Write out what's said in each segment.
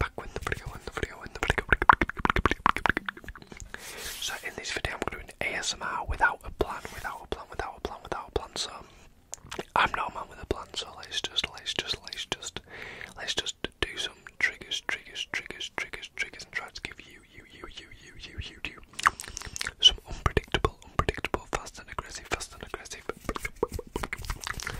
Backwind, wind, the video, wind, the video, So in this video, I'm going to do an ASMR without a plan, without a plan, without a plan, without a plan. So I'm not a man with a plan. So let's just, let's just, let's just, let's just do some triggers, triggers, triggers, triggers, triggers, and try to give you, you, you, you, you, you, you, you, some unpredictable, unpredictable, fast and aggressive, fast and aggressive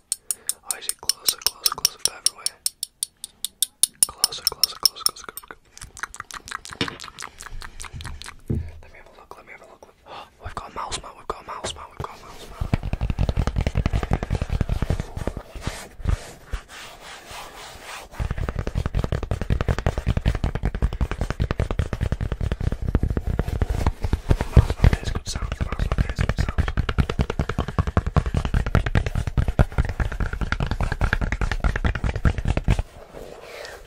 Oh, is closer, closer, closer, further away? Closer, closer, closer, closer, Let me have a look, let me have a look. we've got a mouse man, we've got a mouse man, we've got a mouse man. There's good sound, there's good sound.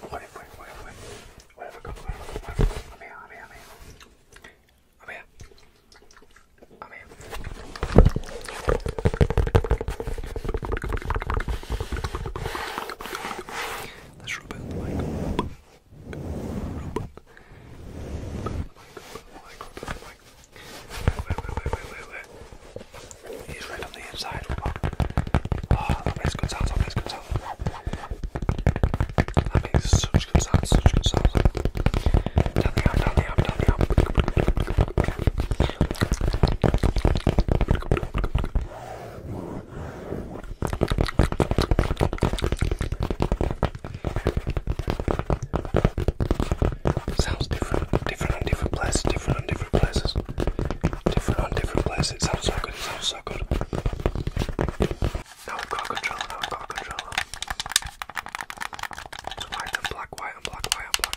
Wait, wait, wait, wait. Where have I gone? Where have I gone? I'm here, I'm here, I'm here. I'm here. I'm here. Let's rub it like. He's right on the inside. Oh, that makes good sounds. That makes good sounds. That makes such good sounds. Such good sounds. Down the arm, down the arm, down the arm. Sounds different, different on different places, different on different places, different on different places. It sounds so good, it sounds so good. Now I've got control, now I've got control. It's white and black, white and black, white and black.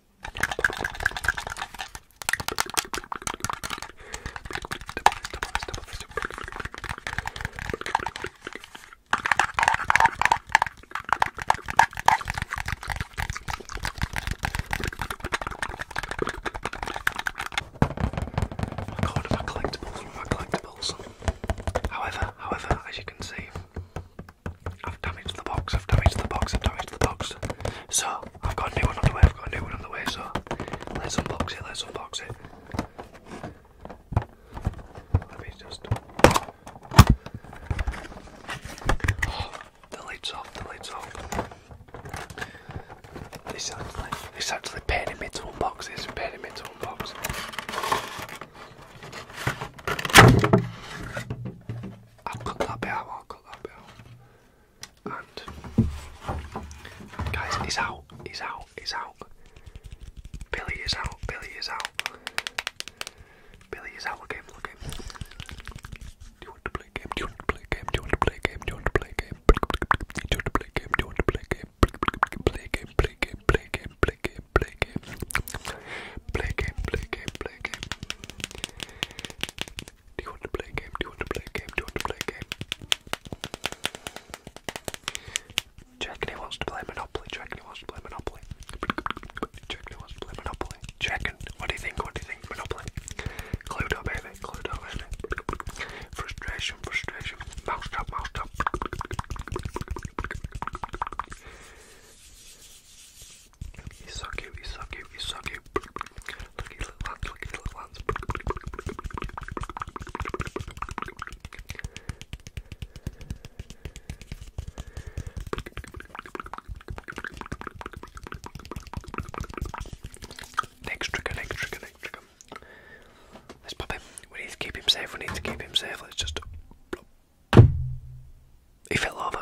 I got one of my collectibles, of my collectibles. However, however, as you can see, I've damaged the box, I've damaged the box, I've damaged the box. So, I've got a new one on the way, I've got a new one on the way, so let's unbox it, let's unbox it. Let me just. the lid's off, the lid's off. This actually, this actually paining me to unbox, it's paining I'll cut that bell. I'll cut that bell. And guys, he's out, he's out, he's out. Billy is out, Billy is out. Billy is out, look at him, look at him. game? you want to play game? you want to play game? you want to play game? you want to play game? you want to play game? you want to play game? Play game, play game game, play game, play game, play game, play game, play game, play game. Do you want to play game? Do you want to play game? Do you want to play game? Do you reckon he wants to play Monopoly? Do you reckon he wants to play Monopoly? Do you reckon he wants to play Monopoly? Do you reckon? What do you think? What do you think? Monopoly? Cluedo, baby. Cluedo, baby. Frustration, frustration. Mousetrap, mousetrap. He's so cute, he's so cute, he's so cute. Look at little ones, look at little ones. Next trigger, next trigger, next trigger. Let's pop him. We need to keep him safe. We need to keep him safe. Let's just. He fell over.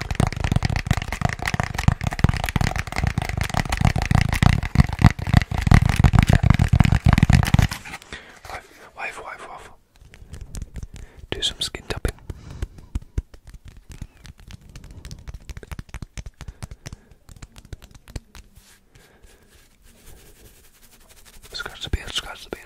Wave, wave, wave, wave. Do some skin tapping. Scratch the beard, scratch the beard.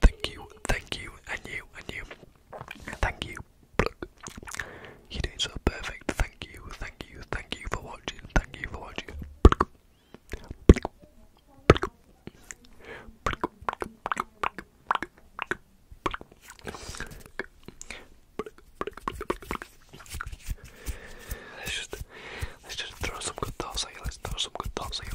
Thank you, thank you, and you, and you. Thank you. You're so perfect. Thank you, thank you, thank you for watching. Thank you for watching. Let's just let's just throw some good thoughts at Let's throw some good thoughts at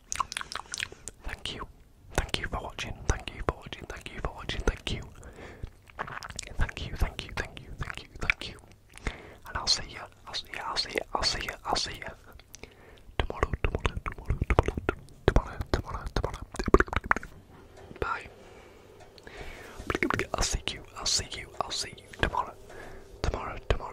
Thank you. Thank you for watching. Thank you for watching. Thank you for watching. Thank you. Thank you. Thank you. Thank you. Thank you. And I'll see you. I'll see you. I'll see you. I'll see you. I'll see you. Tomorrow. Tomorrow. Tomorrow. Tomorrow. Tomorrow. Tomorrow. Tomorrow. Bye. I'll see you. I'll see you. I'll see you tomorrow. Tomorrow. Tomorrow